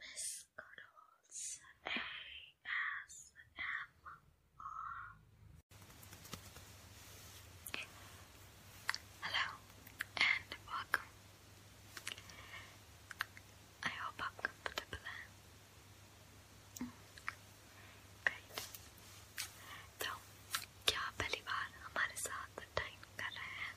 Biscuitals ASMR. Hello and welcome. I hope I'm comfortable. Mm. Great. क्या पहली बार हमारे साथ टाइम कर रहे हैं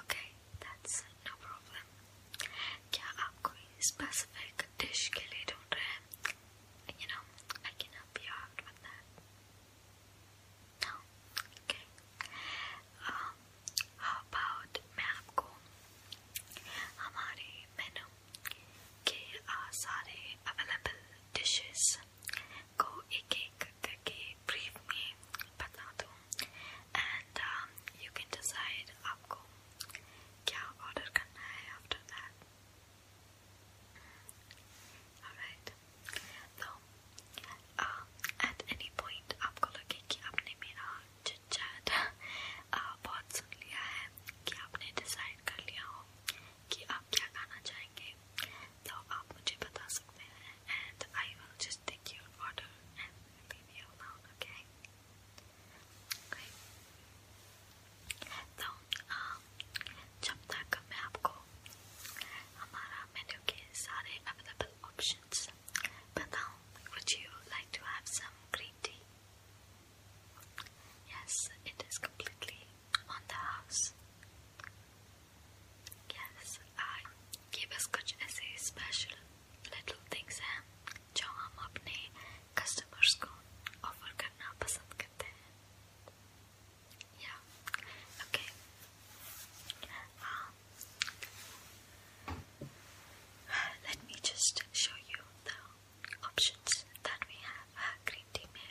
Okay, that's no problem. क्या आप कोई specific dish के ढूंढ रहे You know, I can help you out with that. No, okay. Um, about मैं आपको हमारे मेनू के uh, सारे available dishes को एक एक करके ब्रीफ में बता दूँ एंड यू कैन डिसाइड आपको क्या ऑर्डर करना है आफ्टर दैट ऑलराइट तो एट एनी पॉइंट आपको लगे कि आपने मेरा चिट uh, बहुत सुन लिया है कि आपने डिसाइड कर लिया हो कि आप क्या खाना चाहेंगे तो आप मुझे बता सकते हैं and I will just take your order and leave you alone okay तो जब तक मैं आपको हमारा मेन्यू के सारे अवेलेबल ऑप्शंस बताऊं would you like to have some green tea? Yes, it is completely on the house. Yes, I give कुछ a special little things हैं eh? जो हम अपने customers को offer करना पसंद करते हैं. Yeah, okay. Um, let me just show you the options that we have. Uh, green tea में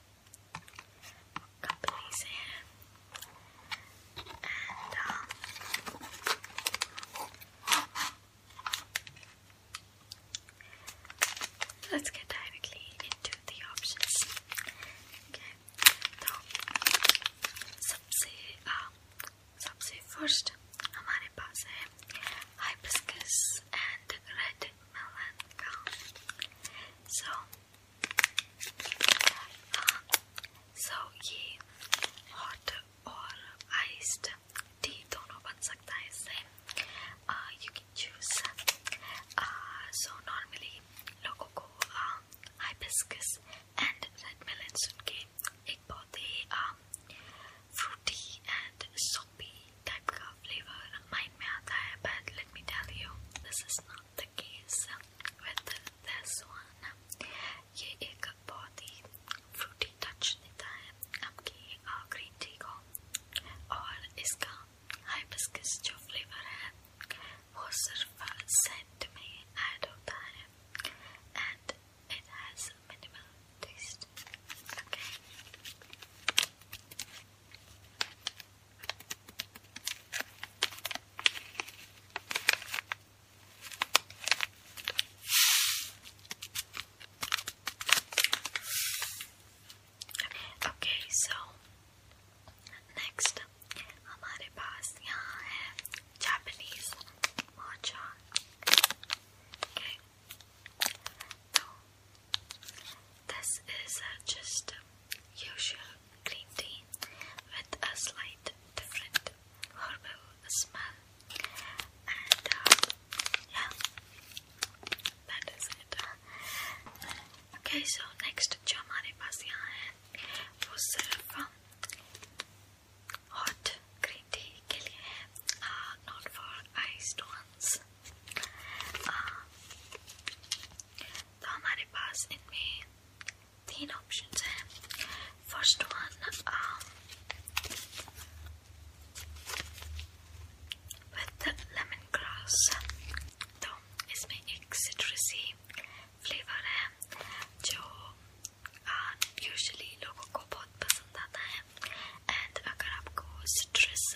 companies And, um, let's get directly into the options. Okay, so सबसे um, सबसे first हमारे पास है hibiscus and red melon का. So so ये hot और iced tea दोनों बन सकता है इससे you can choose so normally लोगों को हाइबिस्कस एंड रेड मेलन सुन के एक बहुत ही फ्रूटी एंड सोपी टाइप का फ्लेवर माइंड में आता है but let me tell you this is not the case this one. ये एक बहुत ही fruity touch देता आपकी green tea और इसका hibiscus जो flavor है वो सिर्फ scent में add होता है and it has minimal taste. Okay. Okay, so next हमारे पास यहाँ है Japanese matcha. This is just usual green tea with a slight different herbal smell uh, yeah that is it okay so next jo hamare paas yahan uh, hai wo hot green tea ke liye uh, not for iced ones तो हमारे पास इनमें तीन options हैं first one with lemongrass तो इसमें एक सिट्रसी flavour है जो यूजली uh, लोगों को बहुत पसंद आता है एंड अगर आपको सिट्रस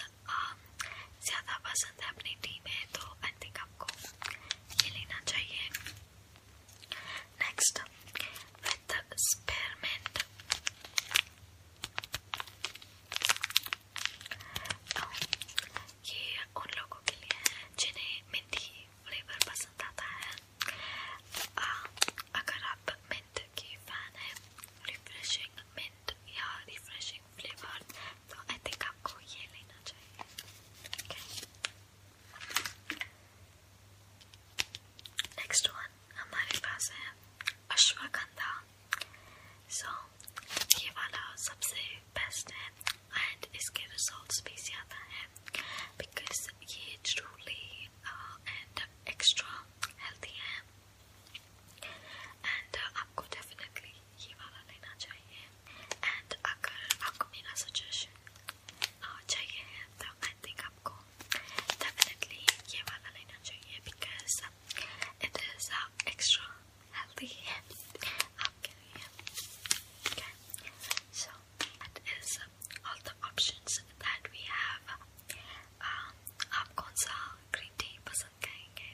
ज़्यादा पसंद है अपनी टीम है तो आई थिंक आपको ये लेना चाहिए नेक्स्ट विद स्पेरमेंट ये उन लोगों के लिए है जिन्हें मिंटी फ्लेवर पसंद आता है आ, अगर आप मिंट की फैन है रिफ्रेशिंग मिंट या रिफ्रेशिंग changing flavor. तो आई थिंक आपको ये लेना चाहिए नेक्स्ट वन हमारे पास है अश्वगंधा सो so, ये वाला सबसे बेस्ट है एंड इसके रिजल्ट्स भी ज़्यादा हैं बिकॉज ये ट्रूली एंड एक्स्ट्रा हेल्दी है एंड uh, आपको डेफिनेटली ये वाला लेना चाहिए एंड अगर आपको मेरा सजेशन चाहिए है तो आई थिंक आपको डेफिनेटली ये वाला लेना चाहिए because it is extra healthy है आपके लिए okay. so that is all the options that we have um, आप कौन सा ग्रीन टी पसंद करेंगे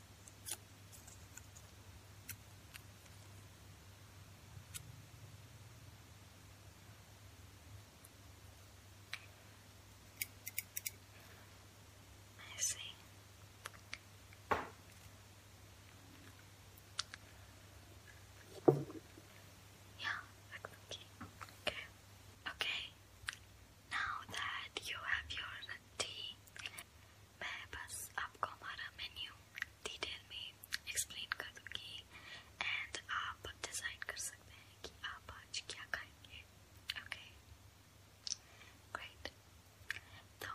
I see. Yeah, Okay. Okay. Now that you have your tea, मैं बस आपको हमारा मेन्यू डिटेल में एक्सप्लेन कर दूंगी एंड आप डिसाइड कर सकते हैं कि आप आज क्या खाएंगे ओके ग्रेट तो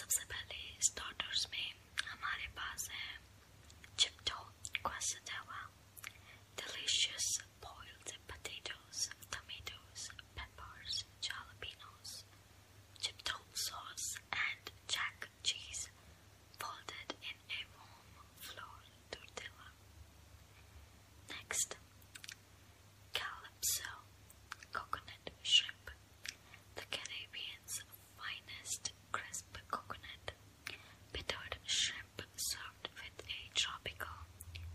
सबसे पहले स्टार्टर्स में हमारे पास है चिप्टो क्वासटावा delicious boiled potatoes, tomatoes, peppers, jalapenos, chiptone sauce, and jack cheese folded in a warm flour tortilla. Next, calypso, coconut shrimp, the Caribbean's finest crisp coconut, bittered shrimp served with a tropical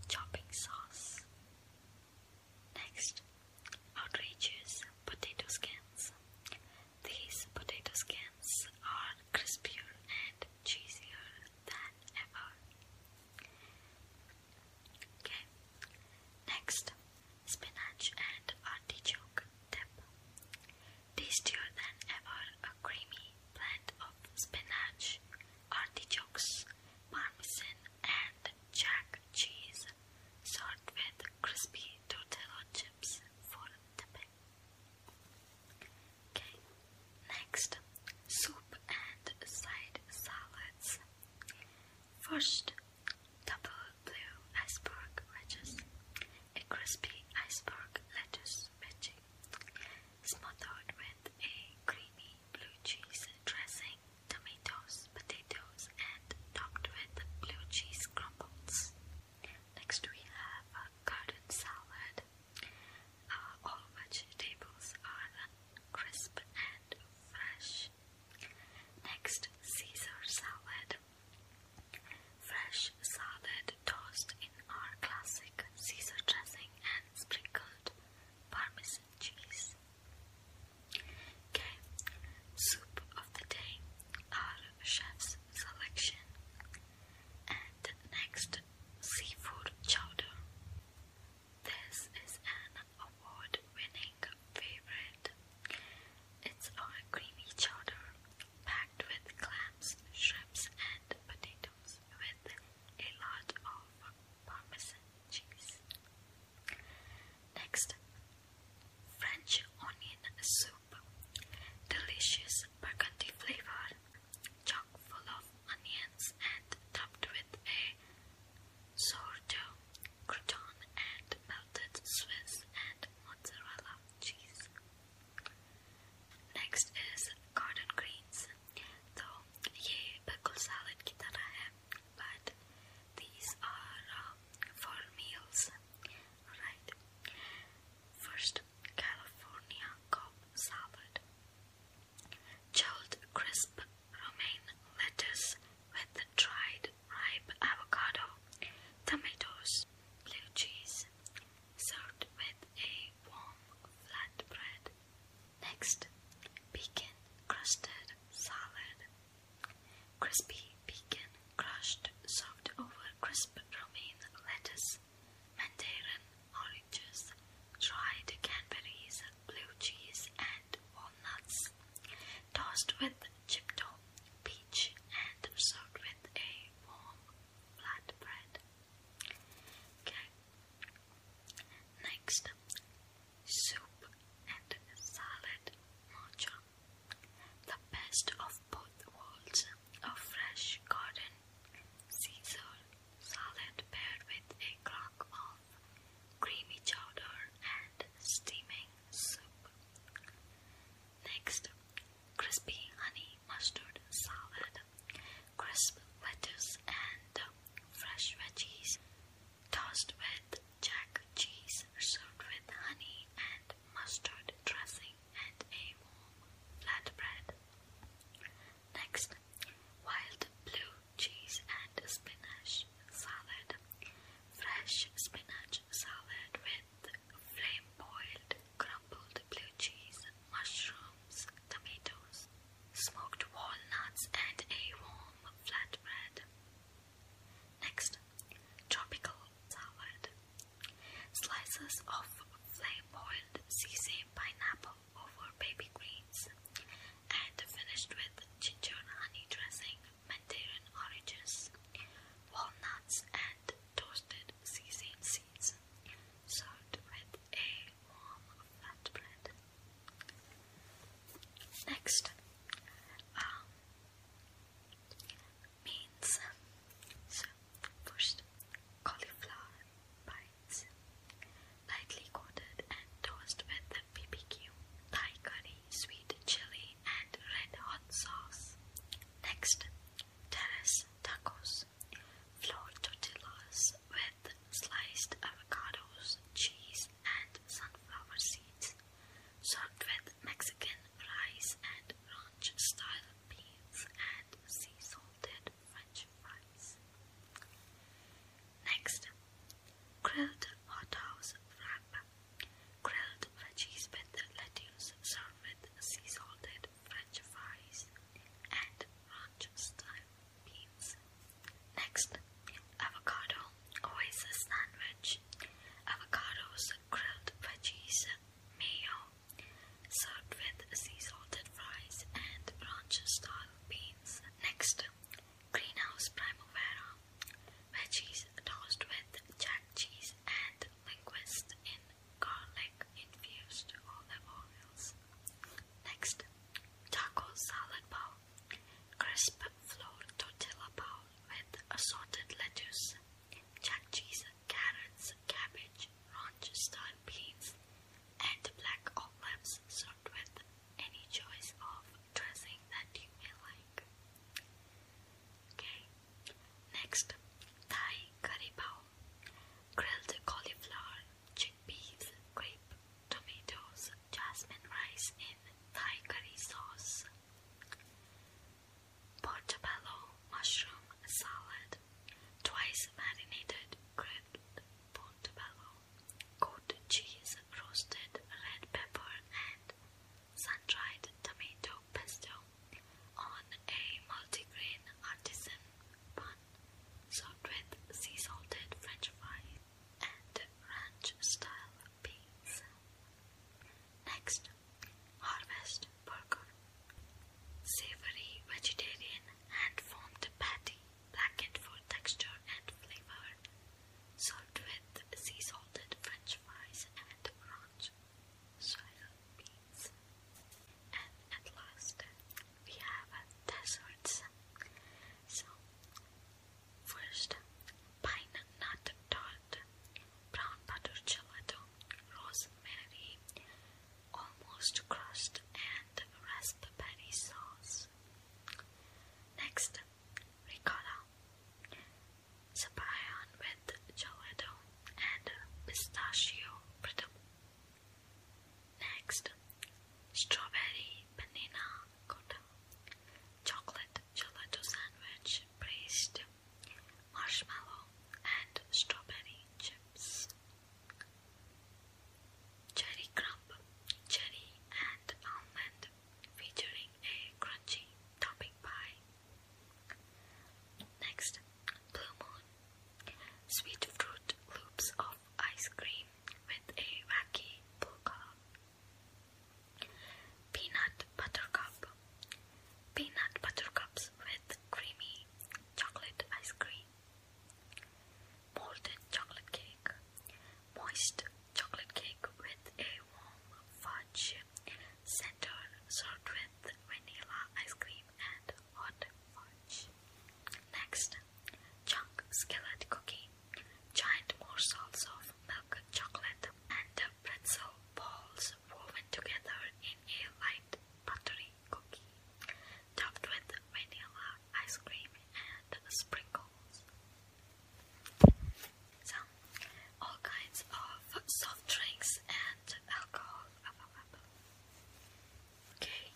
chopping sauce. Next, outrageous potato skins. These potato skins are crispier and cheesier than ever. Okay. Next, spinach and artichoke dip. Tastier than ever, a creamy blend of spinach, artichokes, parmesan, and jack cheese, served with crispy tortilla chips for dipping. Okay, next soup and side salads. First, double blue iceberg wedges, a crispy iceberg lettuce veggie, smothered with a creamy blue cheese dressing tomatoes, potatoes, and topped with blue cheese crumbles. Next, we have a garden salad. Uh, all vegetables are crisp and fresh. Next, Caesar salad. Fresh salad tossed in our classic Caesar dressing and sprinkled Parmesan cheese. Okay, soup of the day, our chef's selection, and next seafood chowder. This is an award-winning favorite. It's our creamy chowder packed with clams, shrimps, and potatoes with a lot of parmesan cheese. Next, French onion soup. Delicious burgundy flavor, chock full of onions and topped with a sourdough, crouton, and melted Swiss and mozzarella cheese. Next is garden greens. तो ये बिल्कुल salad की तरह but these are uh, for meals. Alright. First, California Cobb Salad. Chilled crisp romaine lettuce with dried ripe avocado, tomatoes, blue cheese, served with a warm flatbread. Next, pecan crusted salad. Crispy pecan crushed served over crisp romaine lettuce, mandarin oranges, dried cranberries, blue cheese, and walnuts. Tossed with chipotle peach, and served with a warm flatbread. Okay. Next, soup, and salad mocha. The best of both worlds, a fresh garden Caesar salad paired with a crock of creamy chowder and steaming soup. Next, crispy honey mustard salad, crisp lettuce and fresh veggies, tossed with jack cheese, served with honey and mustard dressing and a warm flatbread. Next, wild blue cheese and spinach salad. Fresh spinach salad with flame boiled crumbled blue cheese, mushrooms, tomatoes smoked walnuts, and a warm flatbread. Next, tropical salad. Slices of flame-boiled seasoned pineapple over baby greens, and finished with ginger honey dressing, Mandarin oranges, walnuts, and toasted seasoned seeds, served with a warm flatbread. Next, um, means uh, first cauliflower bites, lightly coated and toasted with BBQ, Thai curry, sweet chili, and red hot sauce. Next, terrace tacos, flour tortillas with sliced avocados, cheese, and sunflower seeds, served with Mexican rice and ranch style beans and sea salted French fries. Next, grilled hot house wrap. Grilled veggies with lettuce served sea salted French fries and ranch style beans. Next, avocado, always a sandwich. Avocados, grilled veggies, mayo, served with sea salted fries and ranch style beans. Next, greenhouse primavera, veggies tossed with jack cheese and linguist in garlic infused olive oils. Next, taco salad bowl. Crisp flour tortilla bowl with assorted lettuce, jack cheese, carrots, cabbage, ranch-style beans, and black olives served with any choice of dressing that you may like. Okay, next, Thai curry bowl, grilled cauliflower, chickpeas, grape, tomatoes, jasmine rice in Thai curry sauce, portobello mushroom salad, twice marinated grilled portobello, goat cheese, roasted red pepper, and sun-dried tomato pesto on a multigrain artisan bun served with sea salted french fries and French style pizza. Next, harvest burger. Savory vegetarian hand formed patty, blackened for texture and flavor, served with sea salted French fries and ranch style pizza. And at last, we have desserts. So, First, pine nut tart, brown butter gelato, rosemary, almost crust, and raspberry sauce. Next, ricotta, sabayon with gelato and pistachio brittle. Next, strawberry banana ricotta, chocolate gelato sandwich, braised marshmallow, and strawberry chips. Cherry crumb, cherry and almond, featuring a crunchy topping pie. Next, blue moon, sweet fruit loops of ice cream with a wacky polka. Peanut buttercup. Peanut buttercups with creamy chocolate ice cream. Molded chocolate cake. Moist chocolate cake with a warm fudge center served with vanilla ice cream and hot fudge. Next, chunk skillet cookie, giant morsels milk chocolate, and pretzel balls woven together in a light buttery cookie, topped with vanilla ice cream and sprinkles. So, all kinds of soft drinks and alcohol. Okay,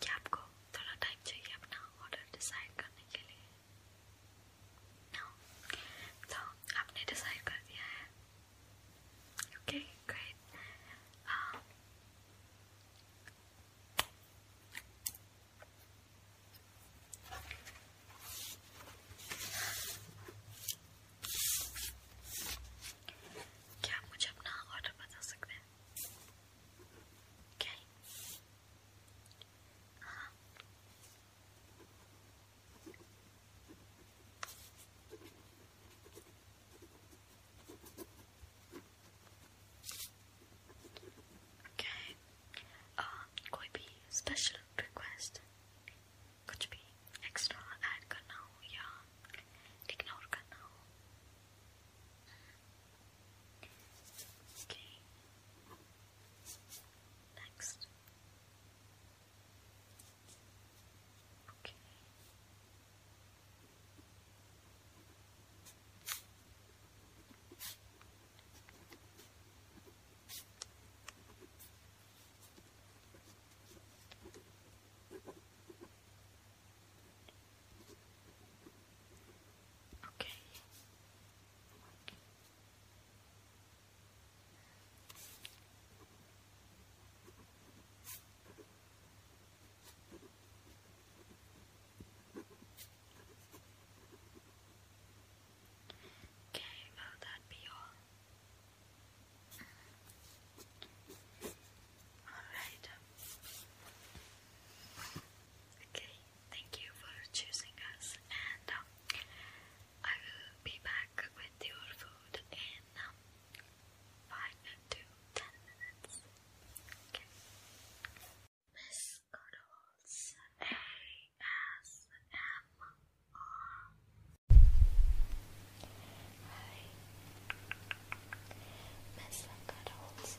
Capco. थोड़ा time चाहिए अपना order decide करने के लिए तो आपने decide कर दिया है ओके ग्रेट क्या आप मुझे अपना ऑर्डर बता सकते हैं क्या Okay. Uh, कोई भी special request कुछ भी extra add करना हो या ignore करना हो Okay. Next. Okay. Okay. Okay, will that be all? All right. Okay. Thank you for choosing us, and um, I will be back with your food in um, five to ten minutes. Miss Cuddles ASMR. Hi. Miss Cuddles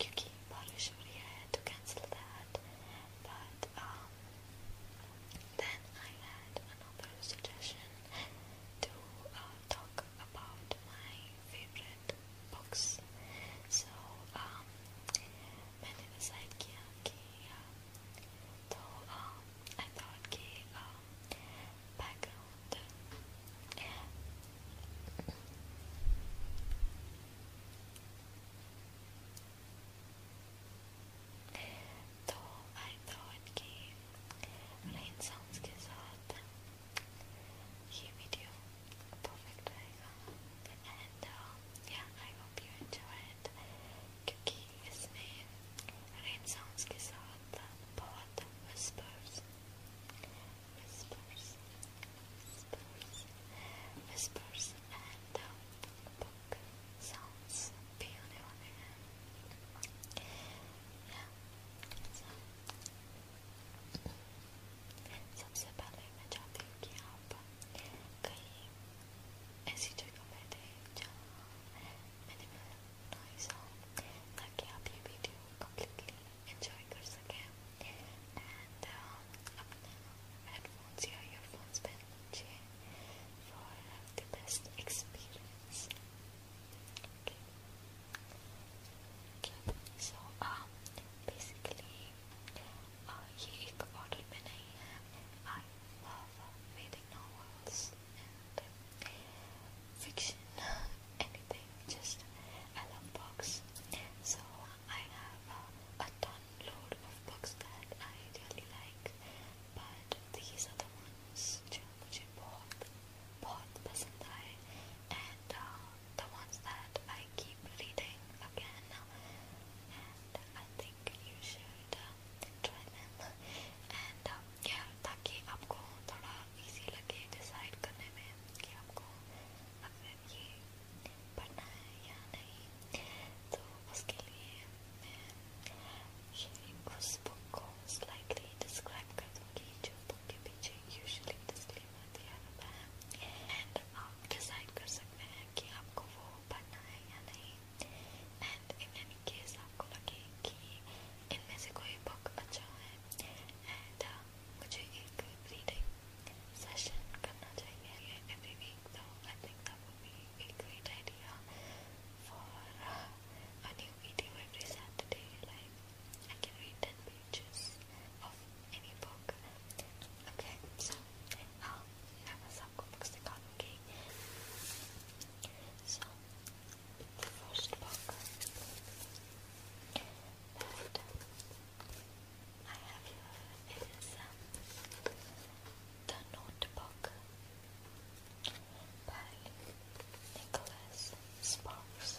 क्योंकि बारिश हो रही है to cancel that but um then I had another suggestion to uh, talk about my favorite books so um मैंने decide किया कि तो um I thought कि um, background eh, तो आई थॉट कि रेन साउंड्स के साथ ये वीडियो परफेक्ट रहेगा and yeah I hope you enjoy it क्योंकि इसमें रेन साउंड्स के साथ बहुत whispers whispers whispers, whispers and uh, book sounds beautiful. Yeah, so सबसे पहले मैं चाहती हूँ कि आप कहीं ऐसी जगह बैठे जहाँ मिनिमल नॉइस हो ताकि आप ये वीडियो कम्प्लीटली एंजॉय कर सकें and uh, headphones, your earphones पहन for the best experience. So um, basically, uh, love reading novels and fiction, anything. Just I love books. So I have uh, a ton load of books that I really like, but these are the ones which I bought, bought pasand and uh, the ones that I keep reading again. And I think you should uh, try them. And um, yeah, ताकि आपको थोड़ा easy decide करने में कि आपको अगर ये पढ़ना है या नहीं तो उसके लिए मैं ये उस बुक को स्लाइटली डिस्क्राइब कर दूँगी जो बुक के पीछे यूजुअली डिस्क्लेमर दिया रहता है एंड आप डिसाइड कर सकते हैं कि आपको वो पढ़ना है या नहीं एंड इन एनी केस आपको लगे कि इनमें से कोई बुक अच्छा है एंड uh, मुझे एक रीडिंग सेशन करना चाहिए that would be a great idea for uh, a new video every Saturday like I can read 10 pages of any book okay so हाँ मैं बस आपको बुक्स दिखा दूँगी so the first book I have here. Um, the Notebook by Nicholas Sparks.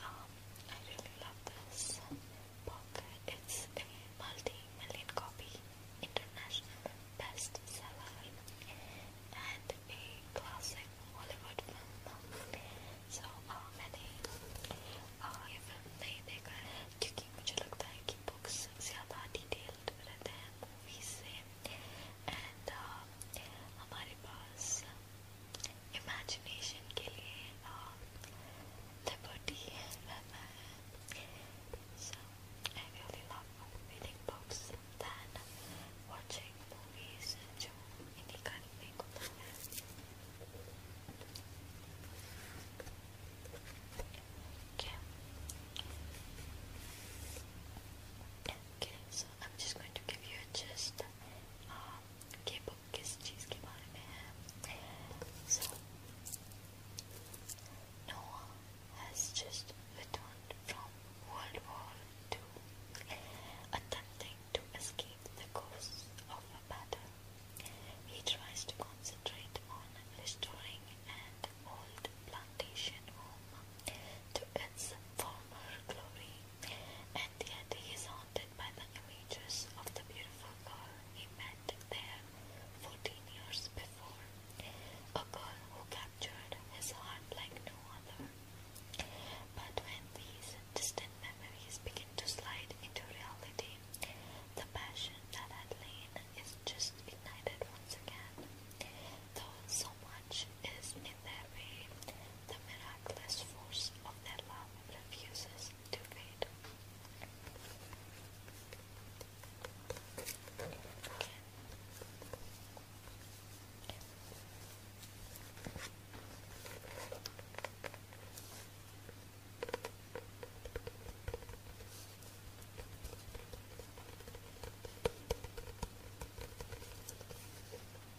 Um, I really love this pocket. It's a multi-million copy international bestseller and a classic Hollywood film. So uh, मैंने uh, ये film नहीं देखा है क्योंकि detailed रहते movies and uh, हमारे imagination के लिए um, so I really love reading books than watching movies जो इन्हीं का रिमेक होता है okay okay so I'm just going to give you a gist uh, Noah has just returned from World War II, attempting to escape the course of a battle. He tries to concentrate on restoring an old plantation home to its former glory and yet he is haunted by the images of the beautiful girl he met there fourteen years before, a girl who captured his heart like no other. But when these distant memories begin to slide into reality, the passion that had lain is just ignited once again, though so much is in their way, the miraculous force of their love refuses to fade.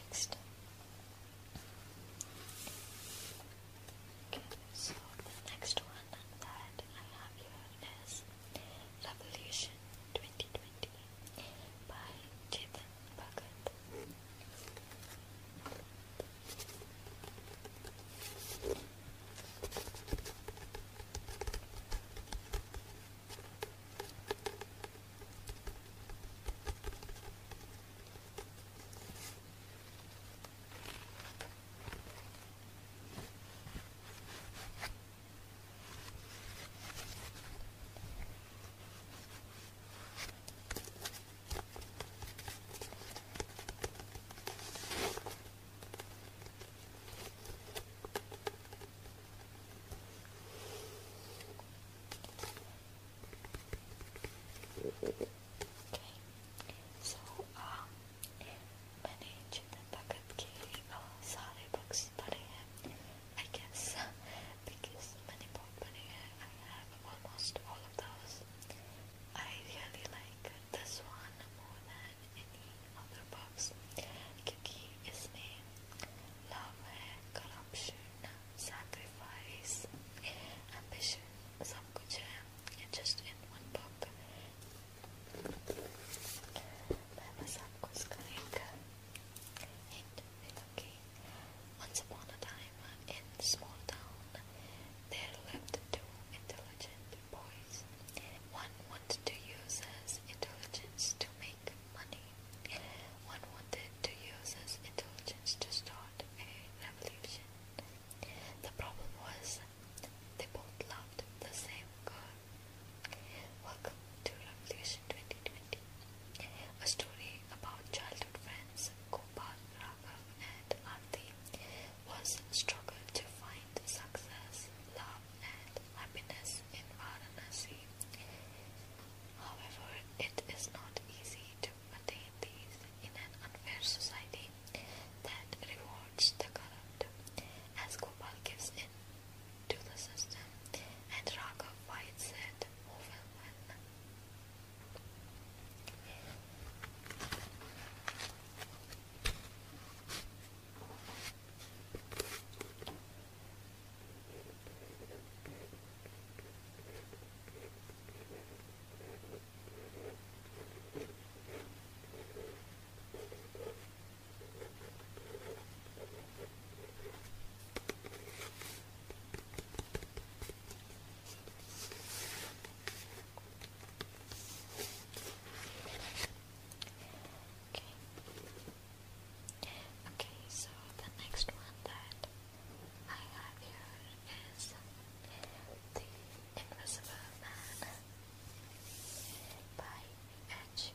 Next. Okay, so the next one that I have here is Revolution 2020 by Chetan Bhagat so um मैंने जितने तकत के सारे बक्स भरे हैं I guess, because Money Pop Bunny, I have almost all of those. I really like this one more than any other box. Kyuki isme love corruption, sacrifice, ambition, sab just in one book. मैं बस आपको इसका एक once upon a time, in a small town, there lived two intelligent boys. One wanted to use his intelligence to make money. One wanted to use his intelligence to start a revolution. The problem was they both loved the same girl, Welcome to Revolution 2020, a story about childhood friends Gopal, Raghav, and Arti was struggled to find success, love, and happiness in Varanasi. However, it is not easy to attain these in an unfair society that rewards the corrupt, as Gopal gives in to the system, and Raghav White said, Who will win? Okay. Okay, so the next one that I have here is the Invisible Man by H.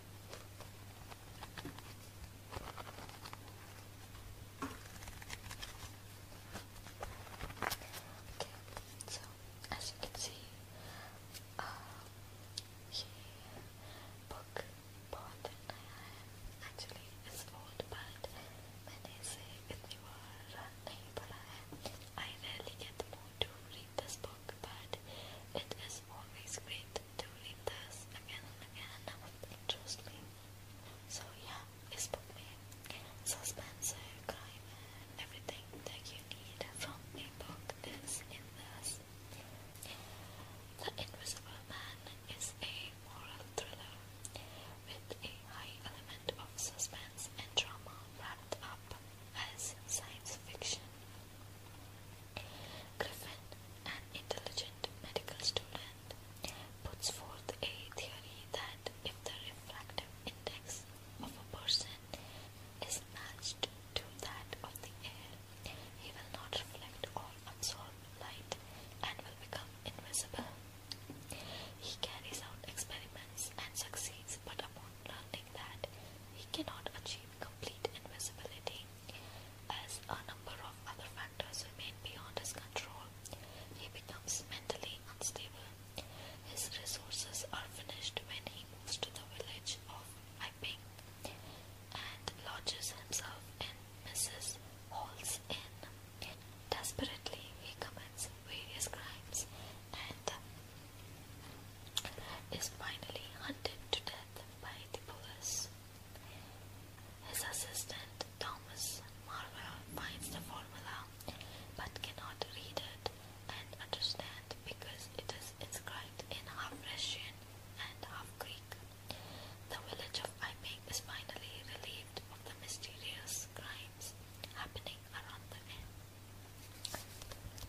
Okay, so as you can see, uh, book bought and I am actually it's old, but many say it newer I rarely get the to read this book, but it is always great doing this again and again and now interesting. So yeah, it's book me. Suspense, crime everything that you need from a book is in this. The Invisible Man is a moral thriller with a high element of suspense and drama wrapped up as science fiction. Griffin, an intelligent medical student, puts forth a theory that if the refractive index of a person is matched to that of the air, he will not reflect or absorb light and will become invisible. He carries out experiments and succeeds, but upon learning that he cannot achieve complete invisibility, as a number of other factors remain beyond his control, he becomes mentally unstable. His resources are finished when he moves to the village of Iping and lodges himself in Mrs. Hall's Inn. Desperately, he commits various crimes and is finally hunted to death by Tibullus. His assistant Thomas Marvel finds the formula but cannot read it and understand because it is inscribed in half Russian and half Greek. The village of Iping is finally relieved of the mysterious crimes happening around the inn.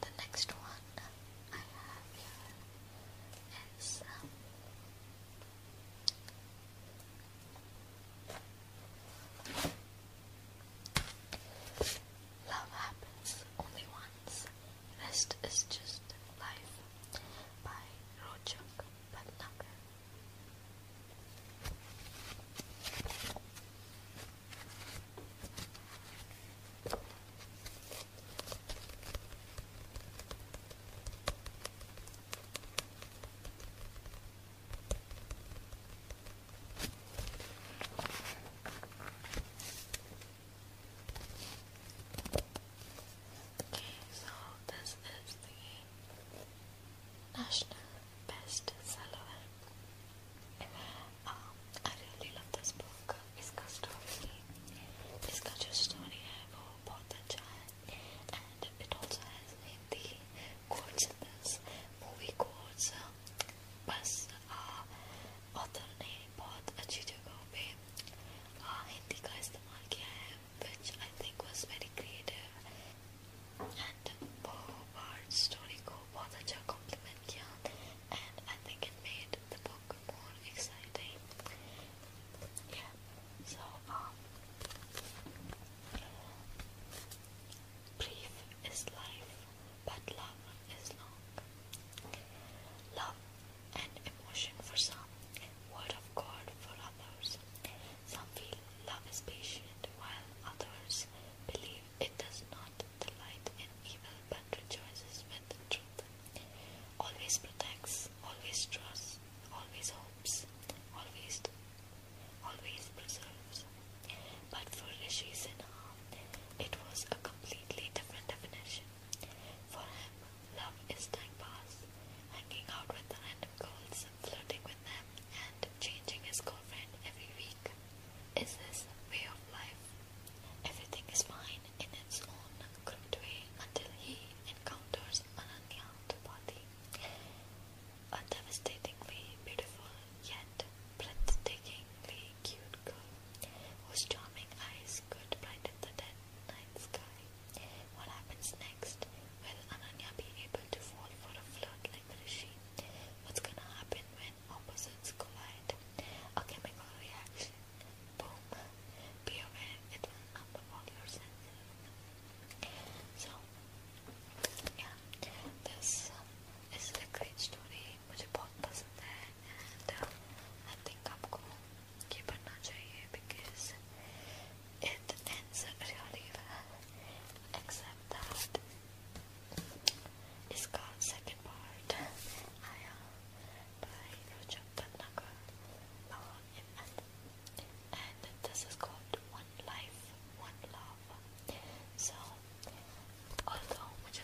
The next one I have here is um, Love Happens Only Once, Rest is Just Life by Rojak Bhatnagar. Okay, so this is the national best seller. Ah, I really love this book. इसका story, इसका जो story है वो बहुत अच्छा है, and it also has Hindi quotes in this movie quotes. बस uh, author ने बहुत अच्छी जगहों पे हिंदी का इस्तेमाल किया which I think was very creative and Poe Bard's story को बहुत compliment किया and I think it made the book more exciting. Yeah. So um, brief is life, but love is long. Love and emotion for some, word of God for others. Some feel love is patient, while others believe it does not delight in evil but rejoices with the truth. Always protects, always trusts, always hopes, always always preserves. But for this reason, it was a completely different definition. For him, love is time pass, hanging out with random girls, flirting with them and changing his girlfriend every week. Is this way of life? Everything is fine in its own crooked way until he encounters Ananya Tripathi, a devastatingly beautiful yet breathtakingly cute girl whose charming eyes could blind the dead night sky. What happens next? Will Ananya be able to fall for a flirt like Rishi? What's gonna happen when opposites collide? A chemical reaction. Boom. Be aware it will all your senses. So, yeah, this is a great story. मुझे बहुत पसंद है and uh, I think आपको ये पढ़ना चाहिए because it ends really well, except that it's called second part, Aya, uh, by Roger Panagar, and this is called One Life, One Love. So, although I don't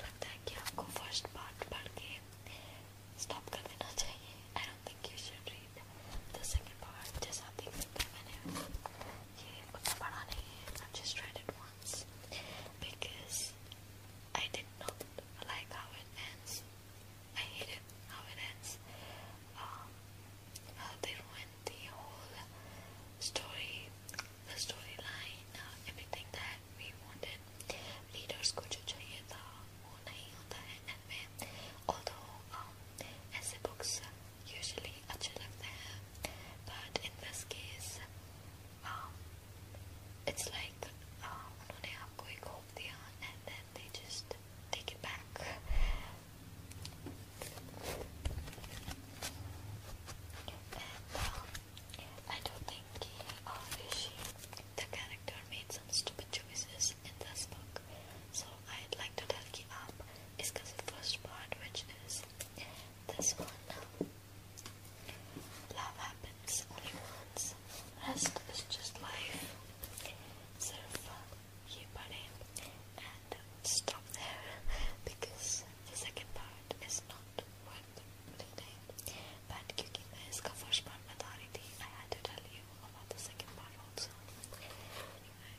you should read the second part. जैसा आप ये उतना बड़ा नहीं just tried it once because I did not like how it ends I hated how it ends um, how they ruined the whole story the storyline uh, everything that we wanted readers को जो चाहिए था वो नहीं and में although um, as the books usually achieve there, but in this case, um, it's like उन्होंने आपको एक hope दिया and then they just take it back. Um, I don't think he uh, or she, the character, made some stupid choices in this book, so I'd like to talk up is the first part, which is this one. Um, love happens only once. Rest is just life. Sirf ye pade and stop there because the second part is not worth reading. But क्योंकि मैं इसका first part बता रही थी, I had to tell you about the second part also. Anyway,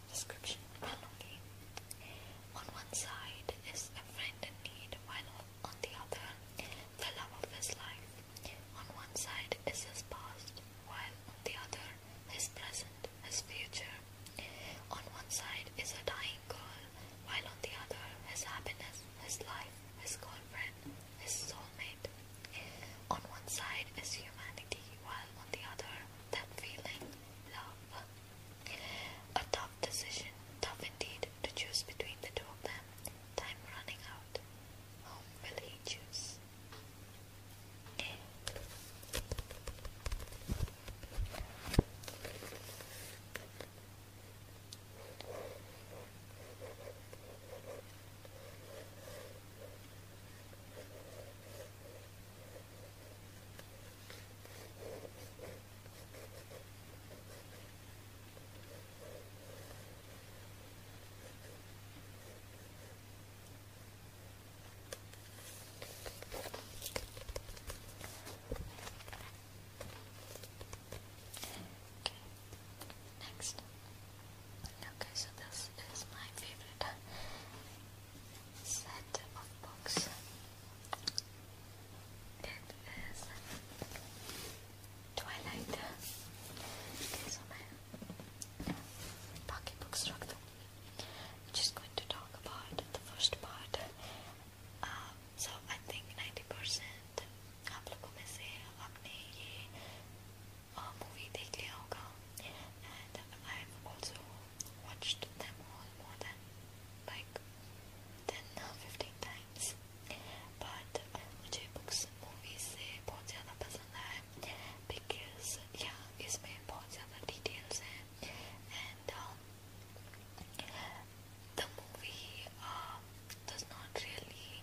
description okay. On one side is a friend in need, while on the other, the love of his life. On one side is his past, while on the other, his present, his future. On one side is a dying girl, while on the other, his happiness, his life, his girlfriend, his soulmate. On one side is humanity, while on the other, that feeling love. A tough decision, tough indeed, to choose between the two of them. Time running out. Whom will he choose? next okay so this is my favorite set of books. It is Twilight. Okay, so my pocketbook structure. just going to talk about the first part. Um, so I think 90% आप लोगों में से आपने ये movie देख watched them all more than like 10 or 15 times but मुझे books movies से बहुत ज़्यादा पसंद आए because yeah it's इसमें बहुत ज़्यादा details हैं and um, the movie uh, does not really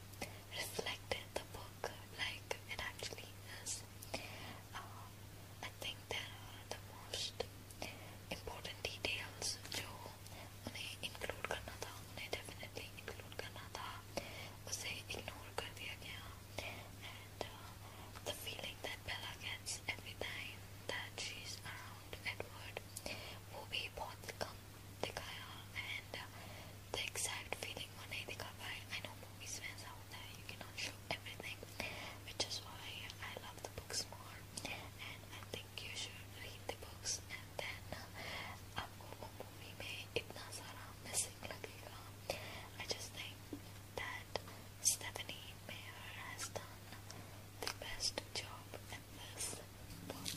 reflect the book like it actually is uh, I think there are the most important details जो उन्हें include करना था उन्हें definitely include करना था उसे ignore कर दिया गया and uh, the feeling that Bella gets every time that she's around Edward वो भी बहुत कम दिखाया and uh, the exact feeling वो नहीं दिखा पाए I know movies में ऐसा that you cannot show everything, which is why I love the books more. And I think you should read the books, and then आपको uh, um, movie में इतना सारा missing लगेगा. I just think that Stephanie Meyer has done the best job in this book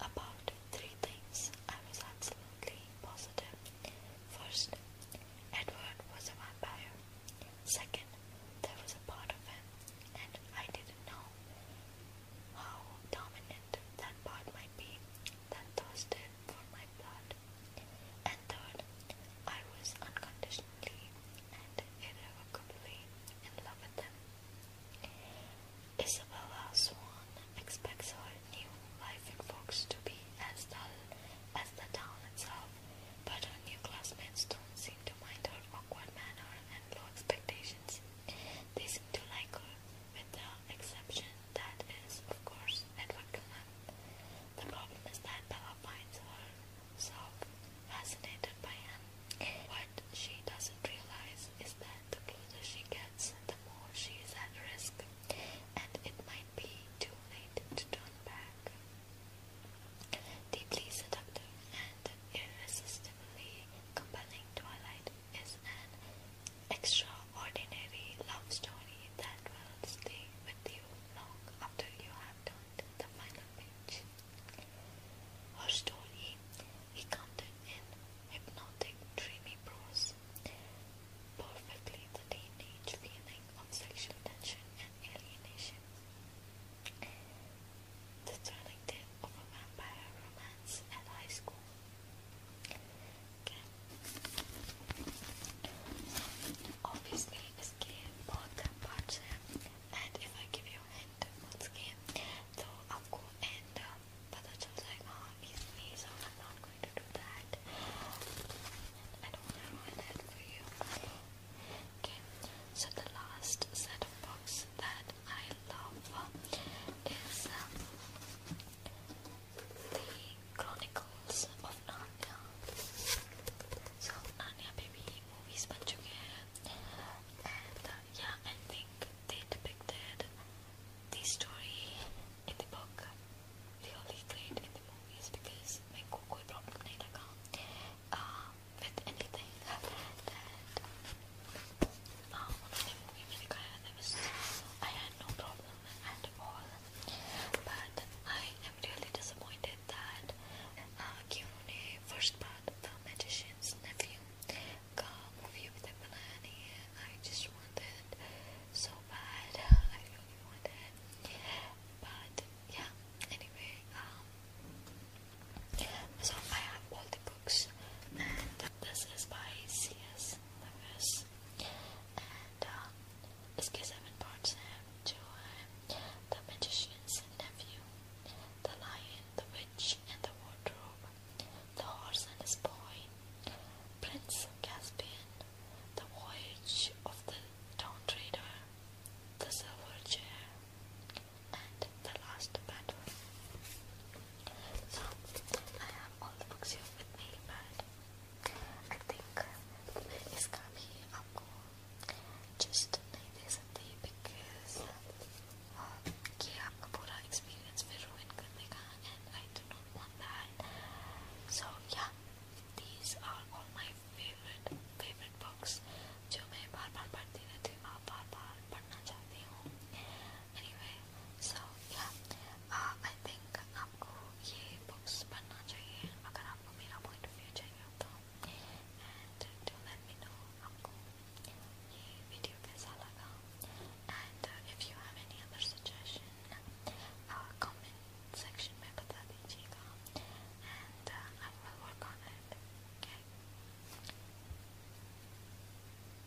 about three things I was absolutely positive. First, Edward was a vampire. Second, there was a part of him, and I didn't know how dominant that part might be that thirsted for my blood. And third, I was unconditionally and irrevocably in love with them. Isabella Swan expects her new life in Fox to be as dull as the town itself, but her new classmates don't seem to mind her awkward manner and low expectations. They seem to like her, with the exception that is, of course, Edward Cullen. The problem is that Bella finds herself fascinated by him. What she doesn't realize is that the closer she gets, the more she is at risk, and it might be too late to turn back. Deeply seductive and irresistibly compelling Twilight is an extraordinary love story that will stay with you long after you have turned the final page. Her story, recounted in hypnotic, dreamy prose, perfectly the teenage of sexual tension and alienation. The thrilling tale of a vampire romance at high school Okay. Obviously, this game both parts, and if I give you a hint what's game, so I'll and uh, but the child's like, ah, oh, me, so I'm not going to do that. And I don't want for you. Okay. So the last set of books that I love is um, the Chronicles of Narnia. So Narnia baby movies बन uh, yeah I think they depicted the story in the book really great in the movies because मेरे को कोई problem नहीं लगा with anything um, I had no problem at all, but I am really disappointed that uh, Kyone, first part, The Magician's Nephew, got movie with a banana. I just wanted so bad, I really wanted, but yeah, anyway, um, so I have all this is by C.S. Lewis, and uh, seven parts to uh, the magician's nephew, the lion, the witch, and the wardrobe, the horse and his boy, Prince Caspian, the voyage of the town trader, the silver chair, and the last battle. So I have all the books you have with me but I think इसका भी आपको just नहीं दे सकती because ये आपका पूरा experience फिर ruin करने का I do not want that so yeah these are all my favorite favorite books जो मैं बार बार पढ़ती रहती हूँ बार बार पढ़ना चाहती हूँ anyway so yeah uh, I think आपको ये books पढ़ना चाहिए अगर आपको मेरा point of view चाहिए and uh, do let me know आपको ये video कैसा लगा and uh, if you have any other suggestion uh, comment section में बता and I will work on it okay